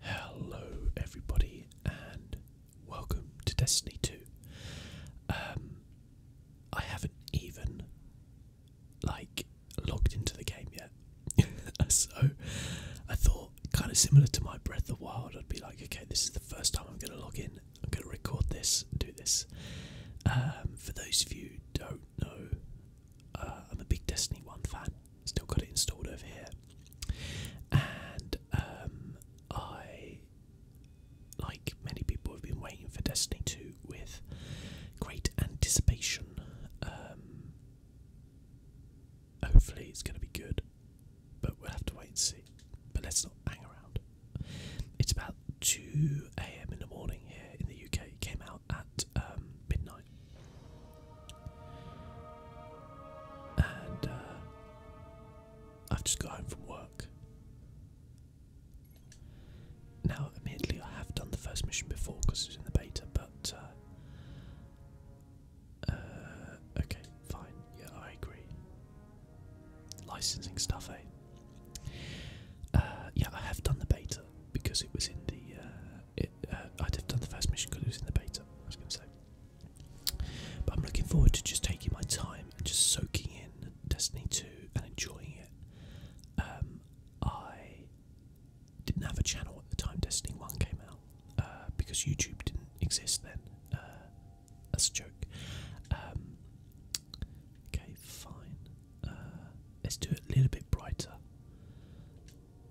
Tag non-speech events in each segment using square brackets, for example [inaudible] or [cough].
Hello, everybody, and welcome to Destiny 2. Um, I haven't even, like, logged into the game yet. [laughs] so, I thought, kind of similar to my Breath of Wild, I'd be like, okay, this is the first time I'm going to log in. I'm going to record this, do this. Um, for those of you don't know, uh, I'm a big Destiny 1 fan. Still got it installed over here. And um, I, like many people, have been waiting for Destiny 2 with great anticipation. Um, hopefully, it's going to be good, but we'll have to wait and see. But let's not hang around. It's about 2 a.m. in the morning here in the UK. It came out at um, midnight. And uh, I've just got home from work. Now, admittedly, I have done the first mission before because it was in the beta, but. Uh, uh, okay, fine. Yeah, I agree. Licensing stuff, eh? yeah, I have done the beta because it was in the uh, I'd have done the first mission because it was in the beta. I was going to say, but I'm looking forward to just taking my time and just soaking in Destiny 2 and enjoying it. Um, I didn't have a channel at the time Destiny 1 came out uh, because YouTube didn't exist then. Uh, that's a joke. Um, okay, fine. let's do it a little bit brighter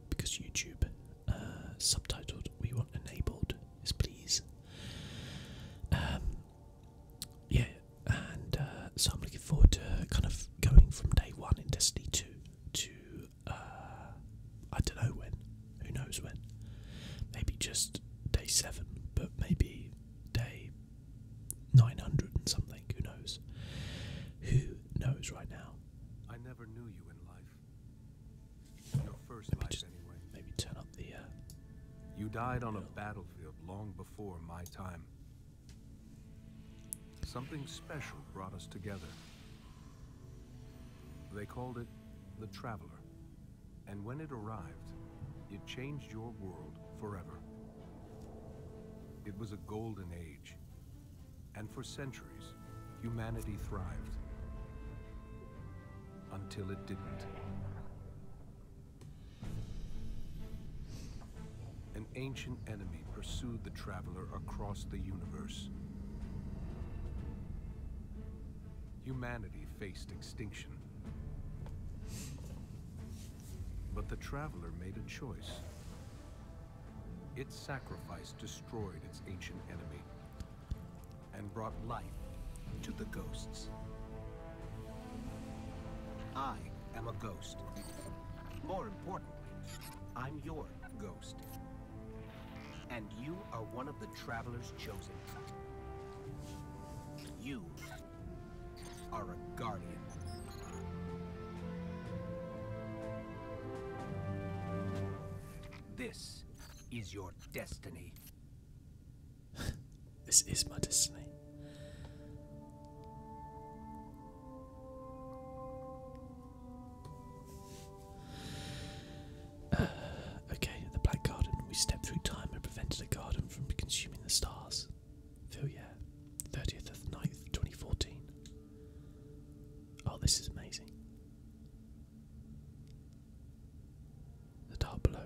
because YouTube uh, subtitled we want enabled is please. Um, yeah, and uh, so I'm looking forward to kind of going from day one in Destiny 2 to uh, I don't know when, who knows when. Maybe just day 7, but maybe day 900 and something, who knows. Who knows right now? I never knew you in life. Your first life, anyway. Maybe turn up the. Uh, you died on a battlefield long before my time. Something special brought us together. They called it the Traveler. And when it arrived, it changed your world forever. It was a golden age and for centuries, humanity thrived. Until it didn't. An ancient enemy pursued the traveler across the universe. Humanity faced extinction. But the traveler made a choice. Its sacrifice destroyed its ancient enemy and brought life to the ghosts. I am a ghost. More importantly, I'm your ghost. And you are one of the travelers chosen. You are a guardian. This is your destiny. [laughs] this is my destiny. [sighs] okay, the Black Garden, we stepped through time and prevented the garden from consuming the stars. Phil, yeah. 30th of 9th, 2014. Oh, this is amazing. The dark below.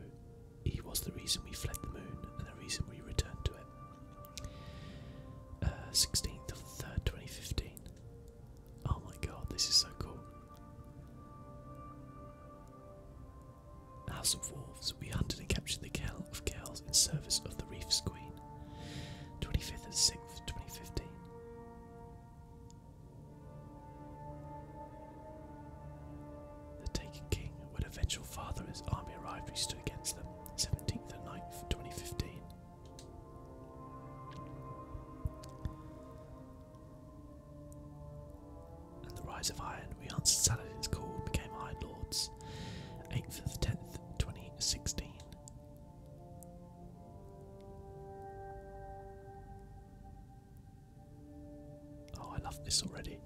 He was the reason we fled the moon and the reason we returned to it. 16th uh, of 3rd, 2015. Oh my god, this is so cool. House of Wolves. We hunted and captured the Cal of Gals in service of the Reef's Queen. 25th and 6th, 6th, 2015. The Taken King, when eventual father of his army arrived, he stood against them, 17th and 9th, 2015. And the rise of Iron, we answered Saladin's call and became Iron Lords, 8th and 10th, 2016. Oh, I love this already.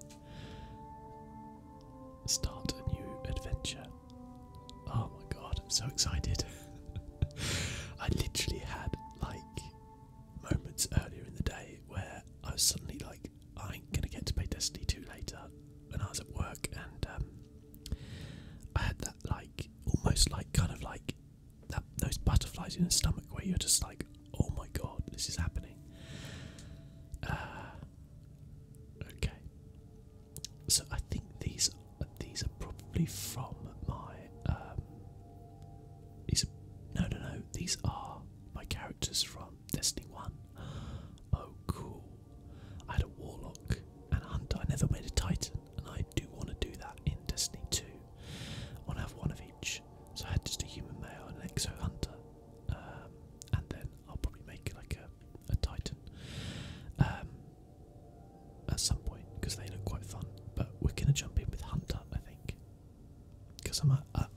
Start a new adventure. Oh my god, I'm so excited. [laughs] I literally had like moments earlier in the day where I was suddenly like, I am gonna get to play Destiny 2 later when I was at work and um, I had that like almost like kind of like that those butterflies in the stomach where you're just like, oh my god, this is happening. Uh, okay, so I think these these are probably from my um, these no no no these are my characters from Destiny One. [gasps] Oh cool, I had a warlock and a hunter. I never made a titan, and I do want to do that in Destiny 2. I want to have one of each. So I had just a human male and an exo hunter. Um, and then I'll probably make like a, titan um, at some point because they look quite fun. But we're going to jump in with hunter, I think. Because I'm a,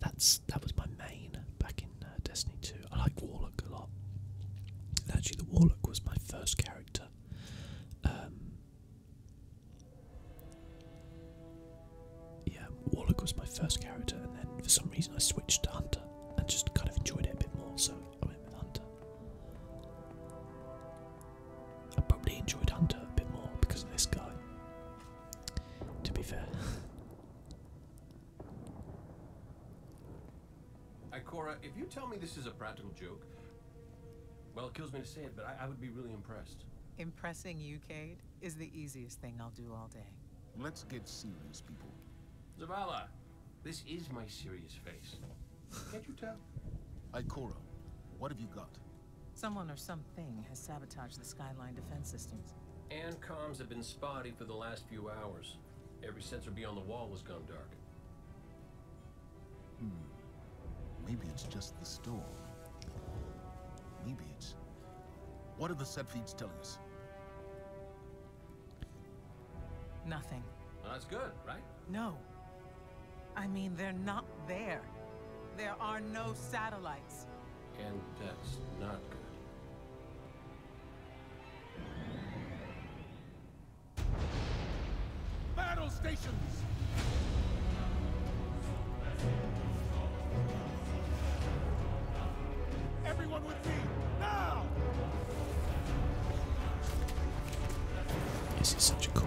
that's that was my main back in uh, Destiny 2. I like Warlock a lot. actually, the Warlock was my first character. Um, yeah, Warlock was my first character, and then for some reason I switched to Hunter and just kind of enjoyed it a bit more, so I went with Hunter. I probably enjoyed Hunter a bit more because of this guy, to be fair. [laughs] Ikora, if you tell me this is a practical joke, well, it kills me to say it, but I, would be really impressed. Impressing you, Cade, is the easiest thing I'll do all day. Let's get serious, people. Zavala, this is my serious face. Can't you tell? Ikora, what have you got? Someone or something has sabotaged the Skyline defense systems. And comms have been spotty for the last few hours. Every sensor beyond the wall was gone dark. Hmm. Maybe it's just the storm. Maybe it's... What are the set feeds telling us? Nothing. Well, that's good, right? No. I mean, they're not there. There are no satellites. And that's not good. Battle stations! Everyone with me, now! This is such a cool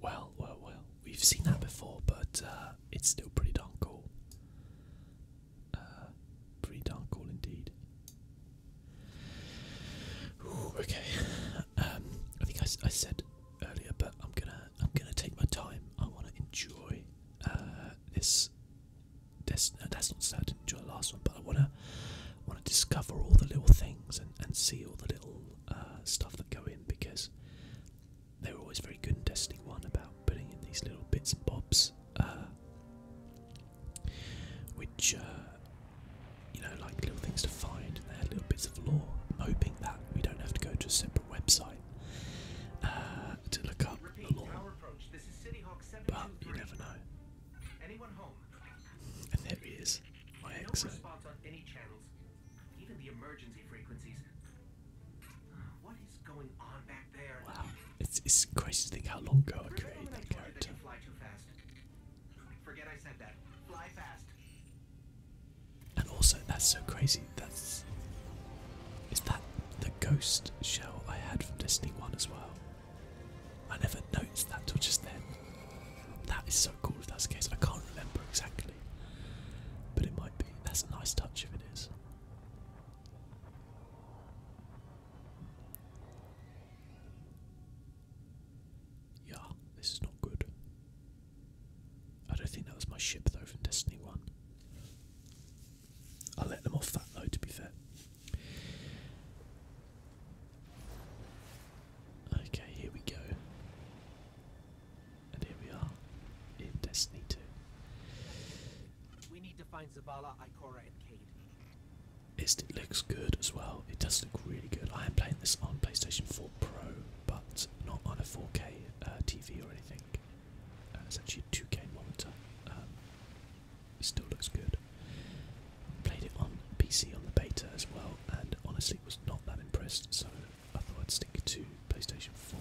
Well, well, well, we've seen that before, but uh, it's still pretty darn cool. Uh, pretty darn cool indeed. okay, um, I think I, said earlier, but I'm gonna I'm gonna take my time. I want to enjoy uh, this that's, that's not sad. to did enjoy the last one, but I wanna want to discover all the little things and, and see all the little uh, stuff that go in because they are always very good in Destiny One about putting in these little bits and bobs, uh, which uh, you know, like little things to find. And they are little bits of lore. hoping that we don't have to go to a separate website uh, to look up Repeat, the lore but you never know. Anyone home? And there he is, my no exit. spots on any going on back there? Wow, it's crazy to think how long ago I created that character. fly too fast. And also, that's so crazy. That's is that the ghost shell I had from Destiny One as well? I never noticed that till just then. That is so cool if that's the case. I can't remember exactly. But it might be. That's a nice touch if it is. Yeah, this is not good. I don't think that was my ship though from Destiny 1. let them off that though, to be fair. Okay, here we go. And here we are in Destiny 2. We need to find Zavala, Ikora, and Cade. It looks good as well. It does look really good. I am playing this on PlayStation 4 Pro, but not on a 4K uh, TV or anything. Uh, it's actually a 2K monitor. Um, it still looks good. Played it on PC on the beta as well, and honestly was not that impressed, so I thought I'd stick to PlayStation 4.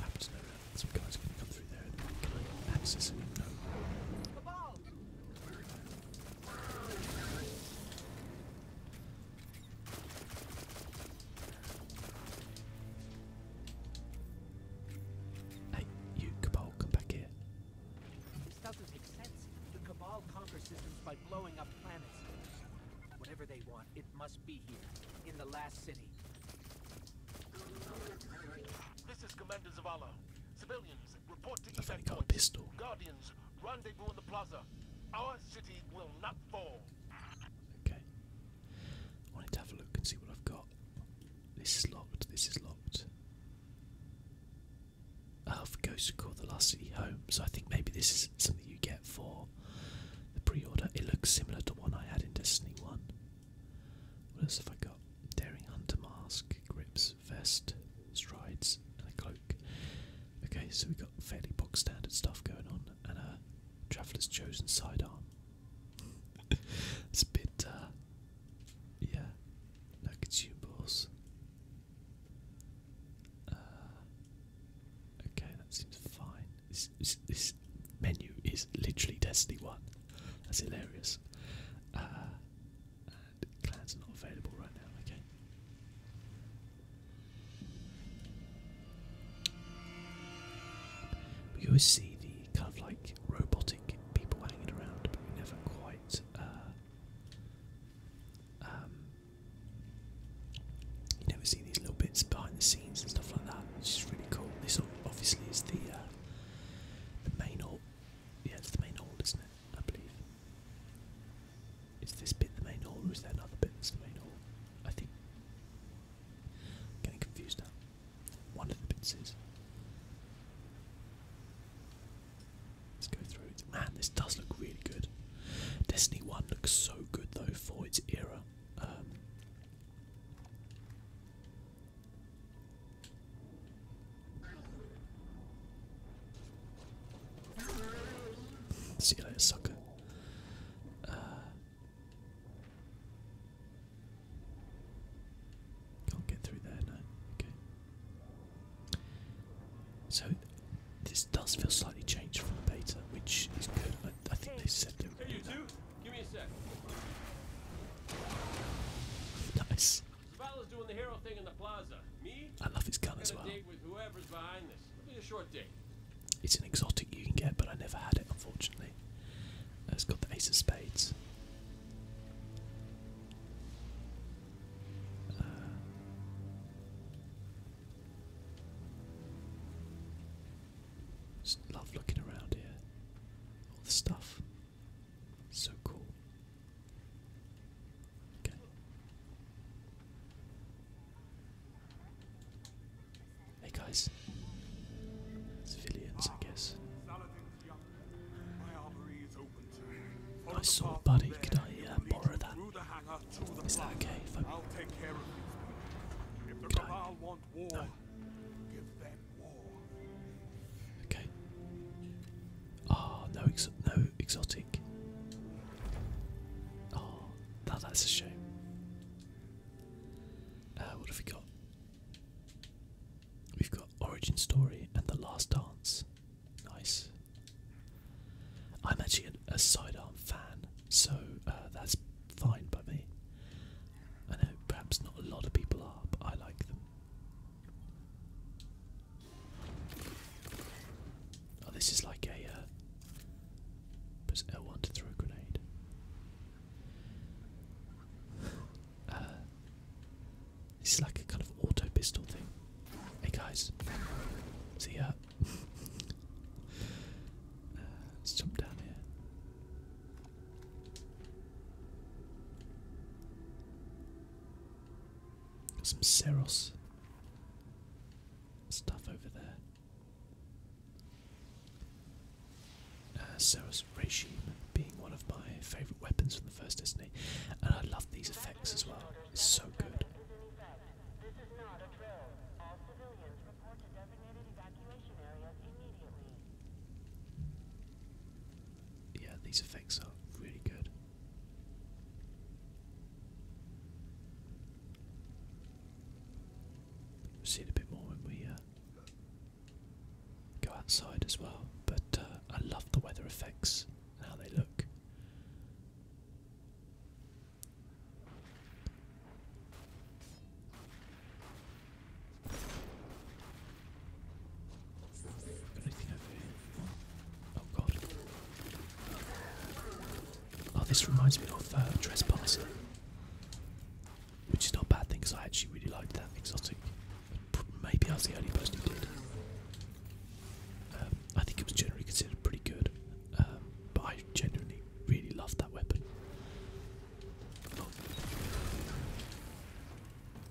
I to know some guys can come through there and can Hey, you Cabal, come back here. This doesn't make sense. The Cabal conquer systems by blowing up planets. Whatever they want, it must be here, in the last city. This is Commander Zavala. Civilians, report to I've only pistol. Guardians, rendezvous in the plaza. Our city will not fall. Okay. I wanted to have a look and see what I've got. This is locked, this is locked. Oh, for Ghost called The Last City Home. So I think maybe this is something you get for the pre-order. It looks similar to one I had in Destiny 1. What else have I got? Daring Hunter Mask, Grips, Vest, Strides, and a Cloak. Okay, so we've got fairly box standard stuff going on, and a Traveller's Chosen Sidearm it's a bit, uh, yeah, like consumables. Uh, okay, that seems fine. This, this, menu is literally Destiny 1. That's hilarious. Uh, clans are not available right now, okay. We always see the kind of like robotic people hanging around, but we never quite. Uh, um, you never see these little bits behind the scenes and stuff like that, which is really cool. This obviously is the uh, main hall. Yeah, it's the main hall, isn't it? I believe. Is this bit the main hall, or is there another bit that's the main hall? I think. I'm getting confused now. One of the bits Let's go through it. Man, this does look really good. Destiny 1 looks so good though for its era. Um, see you later, sucker. Uh, can't get through there, no. Okay. So this does feel slightly changed from the beta, which is good. I, think they said they would. Hey, you give me a sec. [laughs] Nice. Zavala's doing the hero thing in the plaza. Me? I love his gun as well. Date a short date. It's an exotic you can get, but I never had it, unfortunately play. Uh, has got the ace of spades. Uh, love looking around here. All the stuff. So cool. Okay. Hey guys. Civilians, I guess. I saw a buddy. Could I uh, borrow that? Is that okay? Could I? Okay. Ah, oh, no, no exotic. Oh, that's a shame. Uh, what have we got? We've got Origin Story and The Last Dance. Nice. I'm actually a, sidearm fan, so uh, that's fine by me. I know perhaps not a lot of people are, but I like them. Oh, this is like a. press uh, L1 to throw a grenade. Uh, this is like a kind of auto pistol thing. Hey guys, see ya. [laughs] Uh, let's jump down here. some Seros stuff over there uh, Sarah's regime being one of my favourite weapons from the first Disney, and I love these effects as well. It's so good. Yeah, these effects are really good. see it a bit more when we uh, go outside as well. But uh, I love the weather effects and how they look. Oh god. Oh, this reminds me of uh, Trespasser which is not a bad thing because I actually really liked that exotic. Maybe I was the only person who did. Um, I think it was generally considered pretty good, um, but I genuinely really loved that weapon.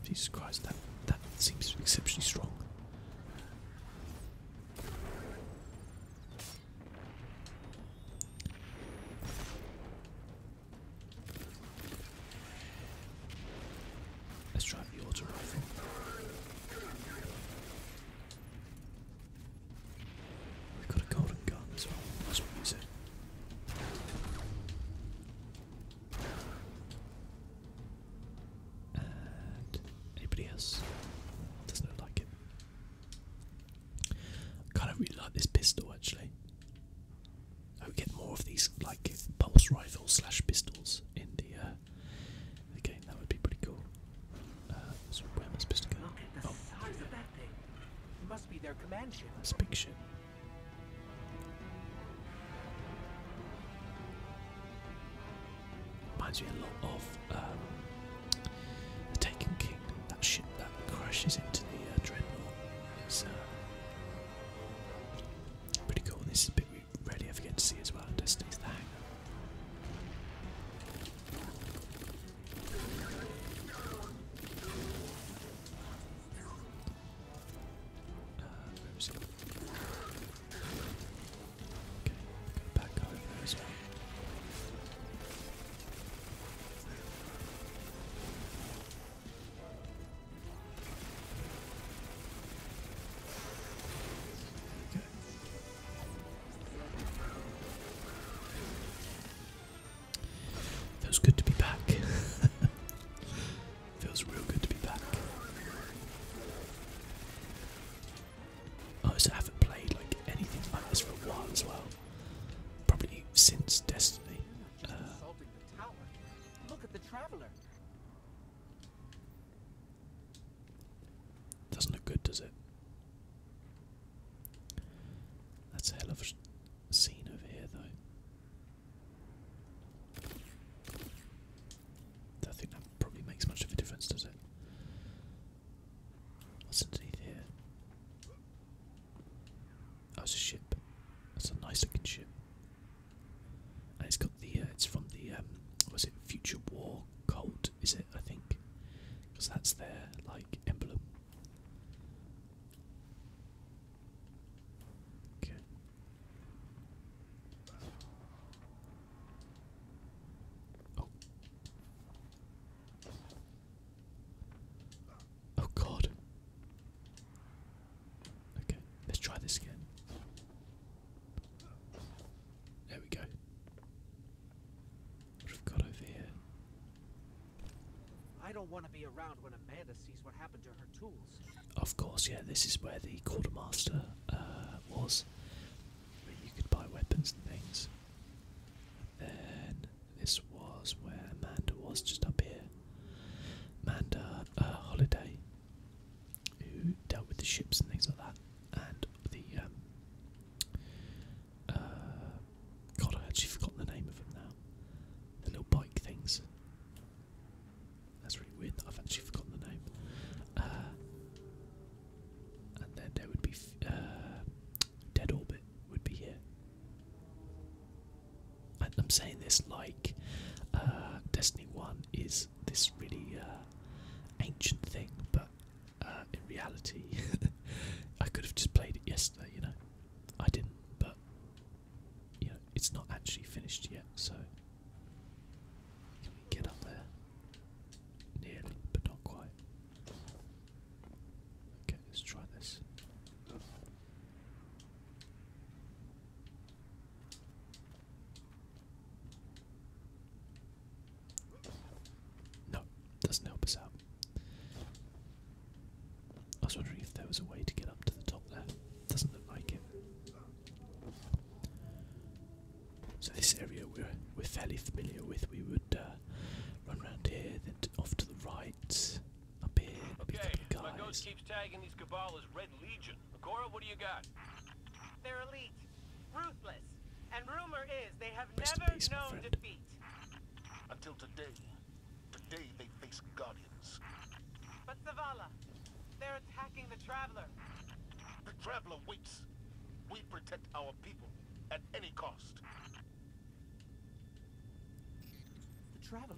Jesus Christ, that that seems exceptionally strong. Let's try the auto rifle. we got a golden gun as well. That's what we said. And anybody else doesn't like it. kind of really like this pistol actually. I would get more of these like pulse rifles slash pistols in the, uh, game. That would be pretty cool. Uh, so where am I supposed to go? Look at the oh. size of that thing. It must be their command ship. Reminds me a lot of um, the Taken King. That ship that crashes into the uh, dreadnought. Pretty cool, this is a bit we rarely ever get to see as well in Destiny's it? Okay, go Feels good to be back. [laughs] Feels real good to be back. Oh, so I haven't played like anything like this for a while as well. Probably since Destiny just assaulting the tower. Look at the traveler. Doesn't look good, does it? That's a hell of a scene over here, though. I think that probably makes much of a difference, does it? What's underneath here? Oh, it's a ship. That's a nice looking ship. And it's got the, uh, it's from the, um, was it Future War Cult, is it, I think? Because that's their, like, emblem. Okay. Oh. Oh god. Okay, let's try this again. There we go. What have we got over here? I don't want to be around when Amanda sees what happened to her tools. Of course, yeah, this is where the quartermaster uh, was. But you could buy weapons and things. then this was where Amanda was, just up here. Manda uh, Holiday, who dealt with the ships and things like that, and the um, uh, God, I actually forgot the name of them now. The little bike things. That's really weird I've actually forgotten the name. Uh, and then there would be uh, Dead Orbit would be here. I'm saying this like uh, Destiny 1 is this really uh, ancient thing, but uh, in reality, [laughs] I could have just played it yesterday, you know. I didn't, but you know, it's not actually finished yet, so can we get up there? Nearly, but not quite. Okay, let's try this. No, doesn't help us out. I was wondering if there was a way to get up to the top there. Doesn't look like it. So this area we're we're fairly familiar with. We would uh, run around here, then off to the right, lights up here. my ghost keeps tagging these cabal Red Legion. Agora, what do you got? They're elite, ruthless, and rumor is they have never known defeat. Until today. Today they face guardians. But Zavala, they're attacking the Traveler. The Traveler waits. We protect our people at any cost. The Traveler.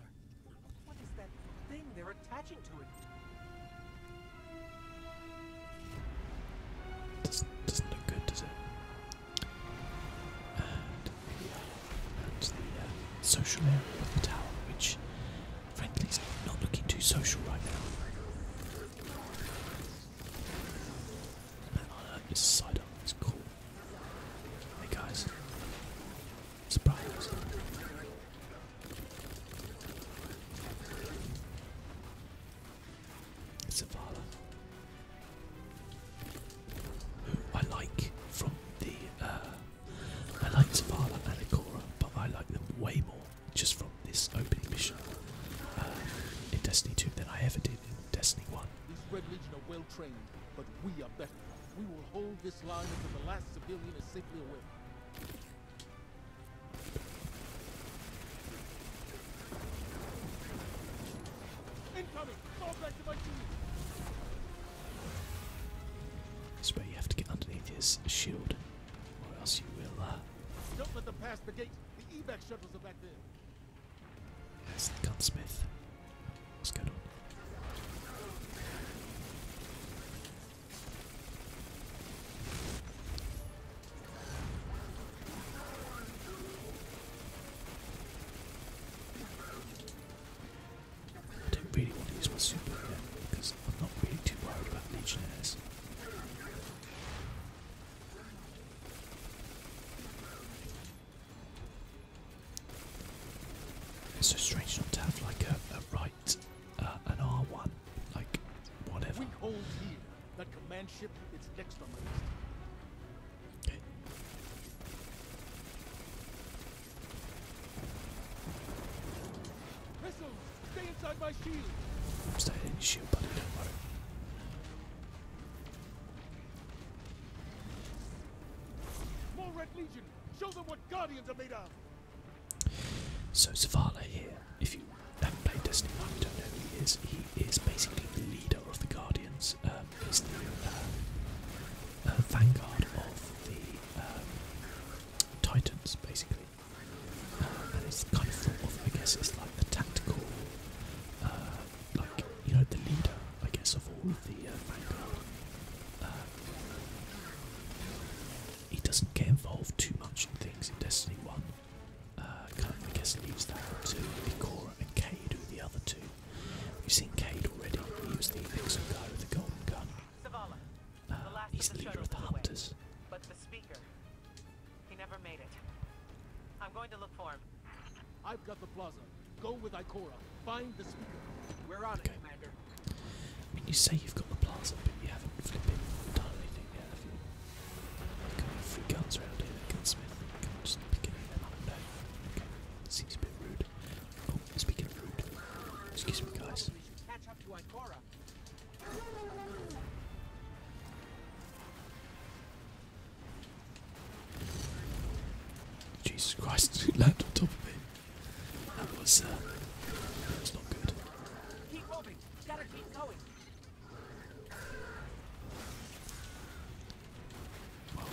What is that thing they're attaching to it? Doesn't, look good, the uh, uh, social area of the tower, which frankly is not looking too social right now. I like uh, this side up, it's Hey guys. Surprise. Zavala. Who I like from the uh, I like Zavala and Agora, but I like them way more just from this opening mission uh, in Destiny 2 than I ever did in Destiny 1 this long until the last civilian is safely away. you have to get underneath his shield, or else you will. Uh, Don't let them pass the gate. The evac shuttles are back there. There's the gunsmith. What's going on? I do because I'm not really too worried about legionnaires. It's so strange not to have like a, right, uh, an R1, like whatever. We hold here. That command ship is next on my list. Okay. stay inside my shield. I'm staying in your shield, buddy. Don't worry. More red legion. So Zavala here, if you haven't played Destiny I don't know who he is. He is basically the leader of the Guardians. Um, he's the uh, uh, vanguard of the um, Titans, basically. Uh, and it's kind of thought of, I guess, it's like the tactical, like, you know, the leader, I guess, of all of the he doesn't get involved too much in things in Destiny 1. Uh, I guess, leaves that to Ikora and Kade, who the other two. We've seen Kade already. He was the pixel guy with the golden gun. Uh, he's the leader of the Hunters. But the speaker, he never made it. I'm going to look for him. I've got the plaza. Go with Ikora. Find the speaker. We're on it, Commander. I mean, you say you've got the plaza, but you haven't flipping done anything yet, have have got three guns around here, gunsmith. You can't just pick any of them up, no. Okay, seems a bit rude. Oh, speaking rude, excuse me, guys. Catch up to Ikora. Jesus Christ, he [laughs] landed on top of it. That was, uh, that was not good. Keep moving. Gotta keep going. Well.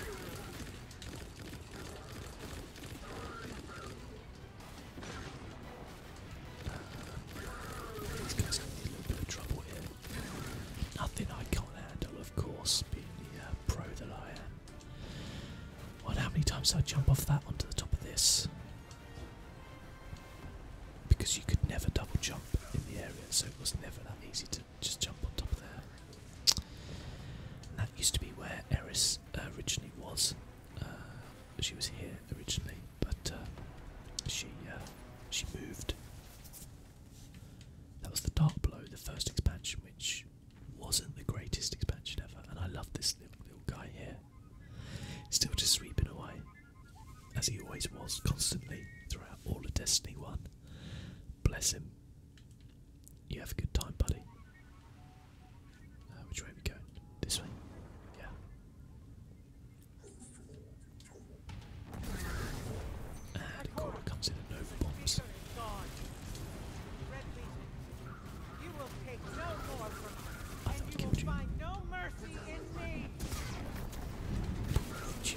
These guys can be a little bit of trouble here. Nothing I can't handle, of course, being the uh, pro that I I how many times did I jump off that onto the top of this. Because you could never double jump in the area, so it was never that easy to just jump on top of there. that used to be where Eris uh, originally was. Uh, she was here originally, but uh, she she moved. That was the Dark Blow, the first expansion, which wasn't the greatest expansion ever, and I love this little, guy here. Still just sweeping away, as he always was, constantly throughout all of Destiny 1. Bless him. You have a good time, buddy. Uh, which way we going? This way? Yeah. And Cora comes in and over bombs. You will take no more from us, and you will find no mercy in me.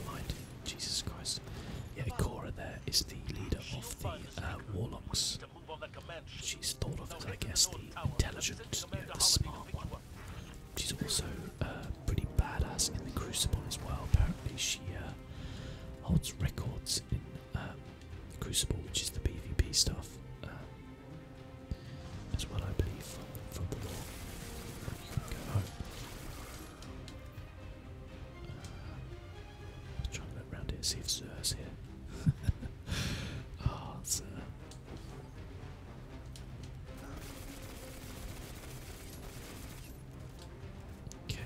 mind? Jesus Christ. Yeah, Cora there is the leader of the uh, warlocks. She's thought of as, I guess, the intelligent, the smart one. She's also uh, pretty badass in the Crucible as well. Apparently, she uh, holds records in um, Crucible, which is the PvP stuff, um, as well, I believe, from, the law. I was trying to look around here and see if Zer's here. oh, [laughs] Zer. Okay.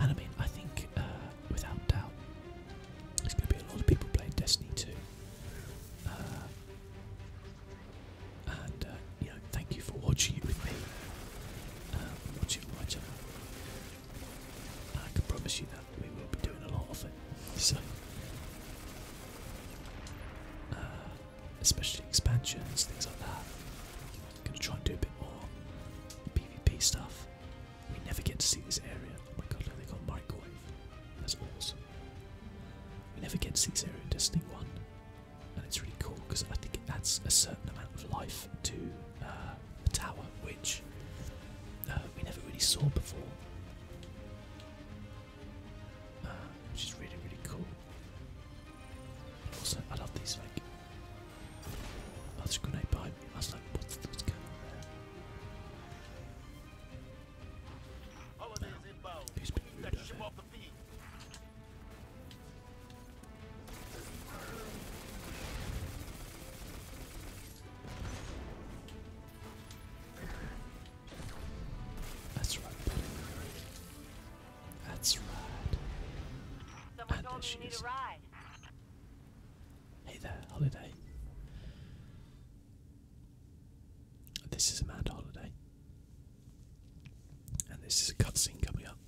And I mean, I think uh, without doubt, there's going to be a lot of people playing Destiny 2. Uh, and uh, you know, thank you for watching it with me, um, watching my channel. And I can promise you that we will be doing a lot of it. [laughs] So, uh, especially expansions, things like that. Gonna try and do a bit more PvP stuff. We never get to see this area. Oh my god, look, they got microwave. That's awesome. We never get to see this area in Destiny 1. And it's really cool because I think it adds a certain amount of life to uh, the tower, which uh, we never really saw before. Uh, which is really, really cool. Also, I love these like that's grenade behind me. I was like, what's, what's going on there? Now, who's been over there? That's right, that's right. you need a ride. Hey there, Holiday. This is a mad Holiday. And this is a cutscene coming up.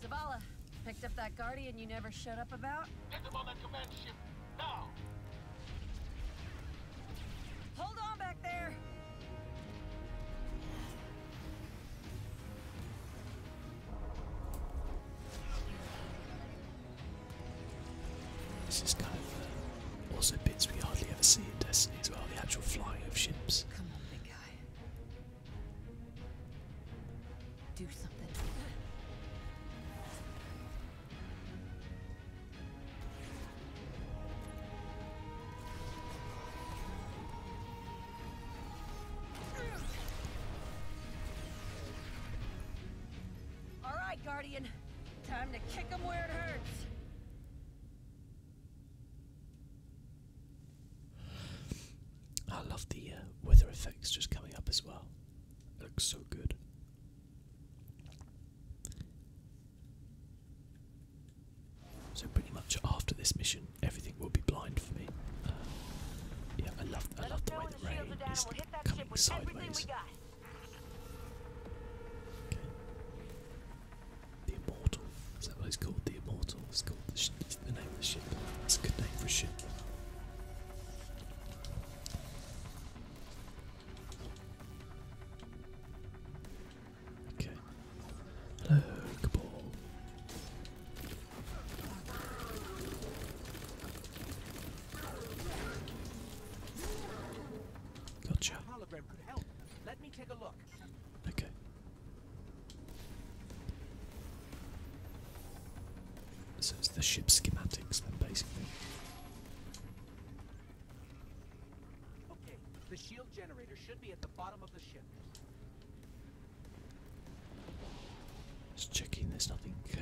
Zavala, picked up that guardian you never shut up about? Get them on that command ship, now! Hold on back there! This is kind of also uh, bits we hardly ever see in Destiny as well, the actual fly of ships. Come on, big guy. Do something. Guardian. Time to kick them where it hurts. I love the uh, weather effects just coming up as well. looks so good. So pretty much after this mission, everything will be blind for me. Uh, yeah, I love I love the way the rain is coming sideways. Okay. The Immortal. Is that what it's called? The Immortal. It's called the, name of the ship. That's a good name for ship. Okay. Hello, Gotcha. Let me take a look. Okay. So it's the ship schematics then basically. Okay, the shield generator should be at the bottom of the ship. Just checking there's nothing uh,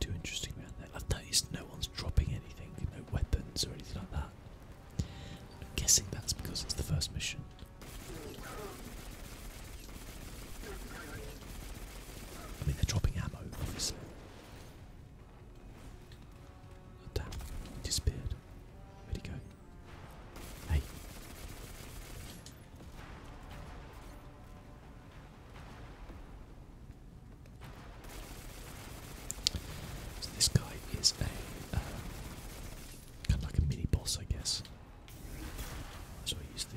too interesting around there. I've noticed no one's dropping anything, no weapons or anything like that. I'm guessing that's because it's the first mission. I mean, they're dropping ammo, obviously damn, he disappeared. Where'd he go? Hey. So this guy is a uh, kind like a mini boss, I guess. So I use the.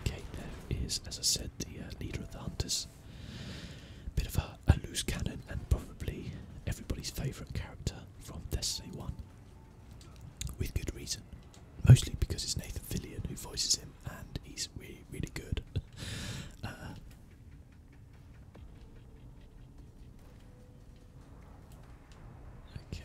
Okay, there is, as I said, the uh, leader of the hunters. Bit of a, loose cannon, and probably everybody's favourite character from Destiny 1. With good reason. Mostly because it's Nathan Fillion who voices him, and he's really, good. [laughs] Uh, okay.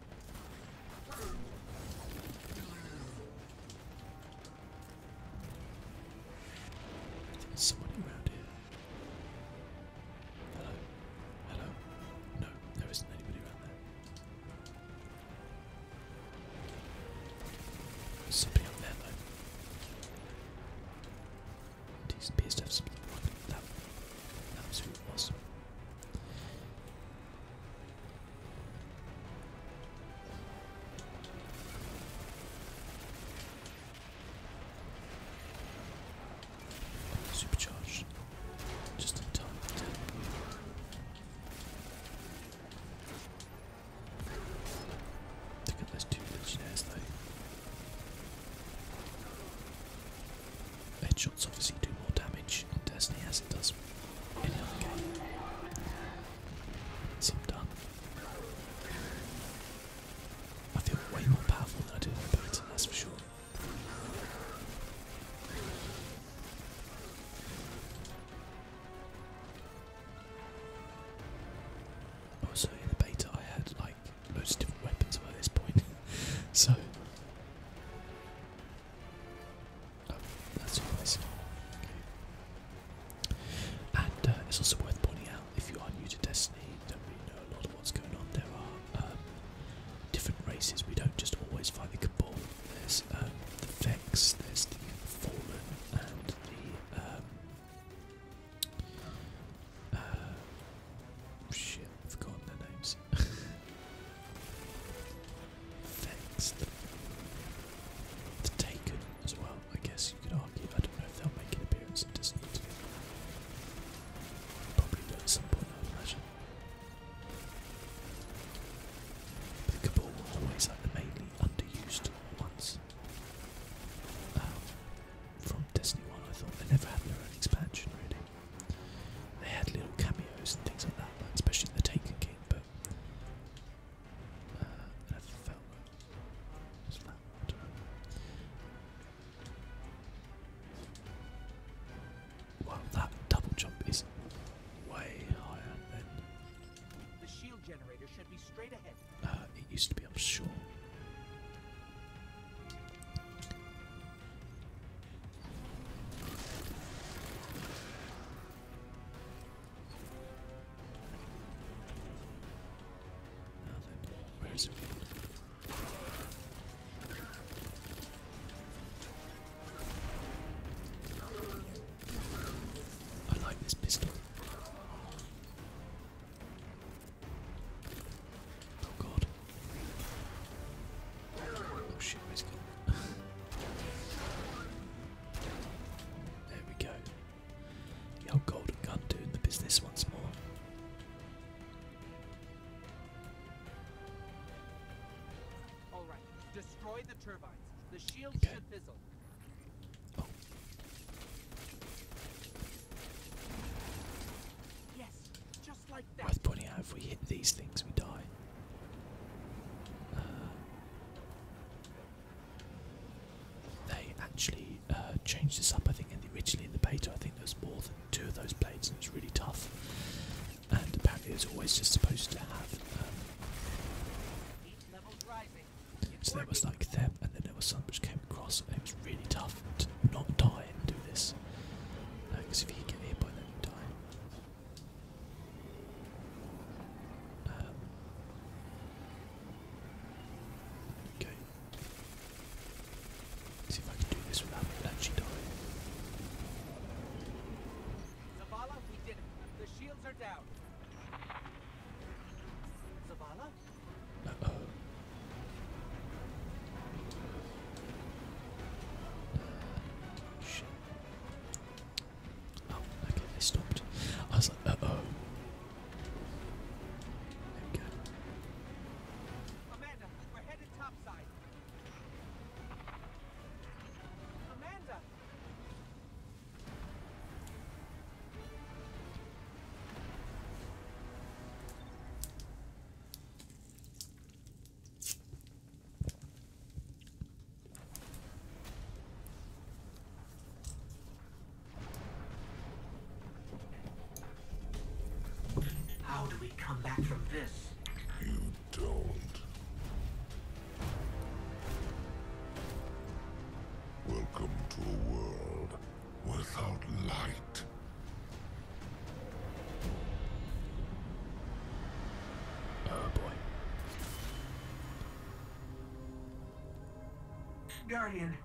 Is around here? Hello? Hello? No, there isn't anybody around there. There's up there though. He appears that. was who it Supercharge. Just in time for that. Look at those two legionnaires though. They it's obviously do more damage in Destiny as it does in any other game. So done. I feel way more powerful than I did in beta, that's for sure. Also, in the beta, I had like loads different weapons by this point, [laughs] so that's your And uh, it's also worth pointing out if you are new to Destiny, don't really know a lot of what's going on. There are um, different races. We don't just always fight the Cabal. There's um, the Vex, there's the Fallen, and the um, uh, their names. The, Taken as well, I guess you could argue. I don't know if they'll make an appearance in Disney too. Probably at some point, I would But The Cabal were always like the mainly underused ones. Um, from Disney One, I thought they never had their own expansion really. They had little cameos and things like that, especially in the Taken King, but uh, felt Wow, that double jump is way higher than. The shield generator should be straight ahead. Uh, it used to be, I'm Where's it? I like this pistol. Oh god. Oh shit, where's it there we go. The golden gun doing the business once more. All right, destroy the turbines. The shields should fizzle. Oh. Yes, just like Worth pointing out, if we hit these things, we die. Uh, they actually uh, changed this up, I think, originally in the beta. I think there was more than two of those blades, and it was really tough. And apparently, it was always just supposed to have. Um, so there was like them, and then there was some which came across, and it was really tough to not die and do this. Because uh, if you get hit by then, you die. Um, okay. see if I can do this without actually dying. Zavala, we did it. The shields are down. Zavala? oh. shit. Oh, okay, they stopped. I was like, uh oh. There we go. Amanda, we're headed topside. Amanda. How do we come back from this? You don't. Welcome to a world without light. Oh boy. Guardian,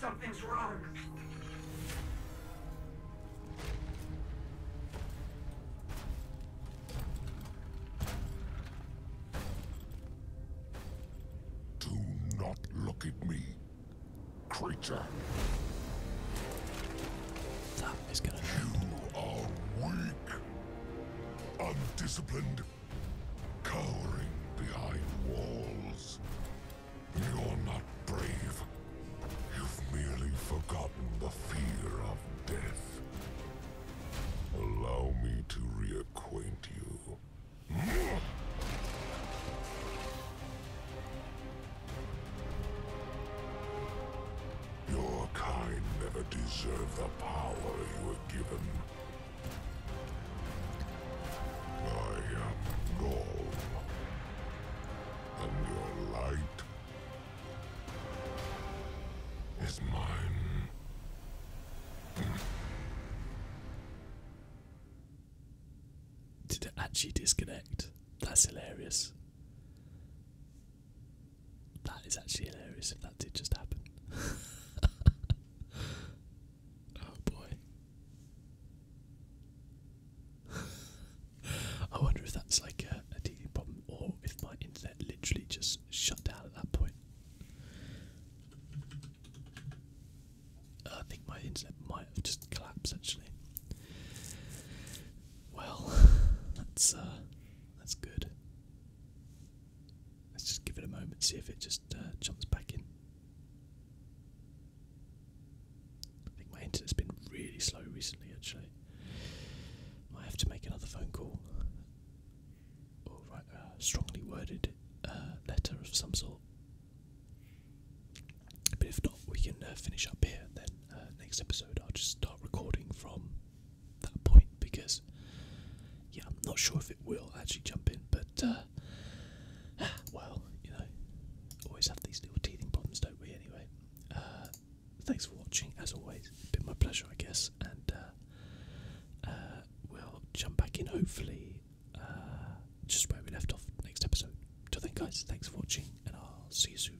something's wrong. Do not look at me, creature. That is gonna. You are weak undisciplined, cowering behind walls. You're not brave. You've merely forgotten the fear of death. Allow me to reacquaint you. Your kind never deserve the power you were given. I am Gaul, and your light is mine. Did it actually disconnect? That's hilarious. That is actually hilarious if that did just happen. [laughs] oh boy. I wonder if that's like a, a TV problem or if my internet literally just shut down at that point. I think my internet might just collapsed actually. Well, [laughs] that's uh, that's good. Let's just give it a moment, see if it just uh, jumps back in. I think my internet's been really slow recently, actually. I have to make another phone call or write a strongly worded uh, letter of some sort. But if not, we can uh, finish up here. Then next episode, I'll just start recording from that point because, yeah, I'm not sure if it will actually jump in, but, uh, [sighs] well, you know, always have these little teething problems, don't we, anyway? Uh, thanks for watching, as always. It's been my pleasure, I guess, and, uh, we'll jump back in, hopefully, just where we left off next episode. Till then, guys, thanks for watching, and I'll see you soon.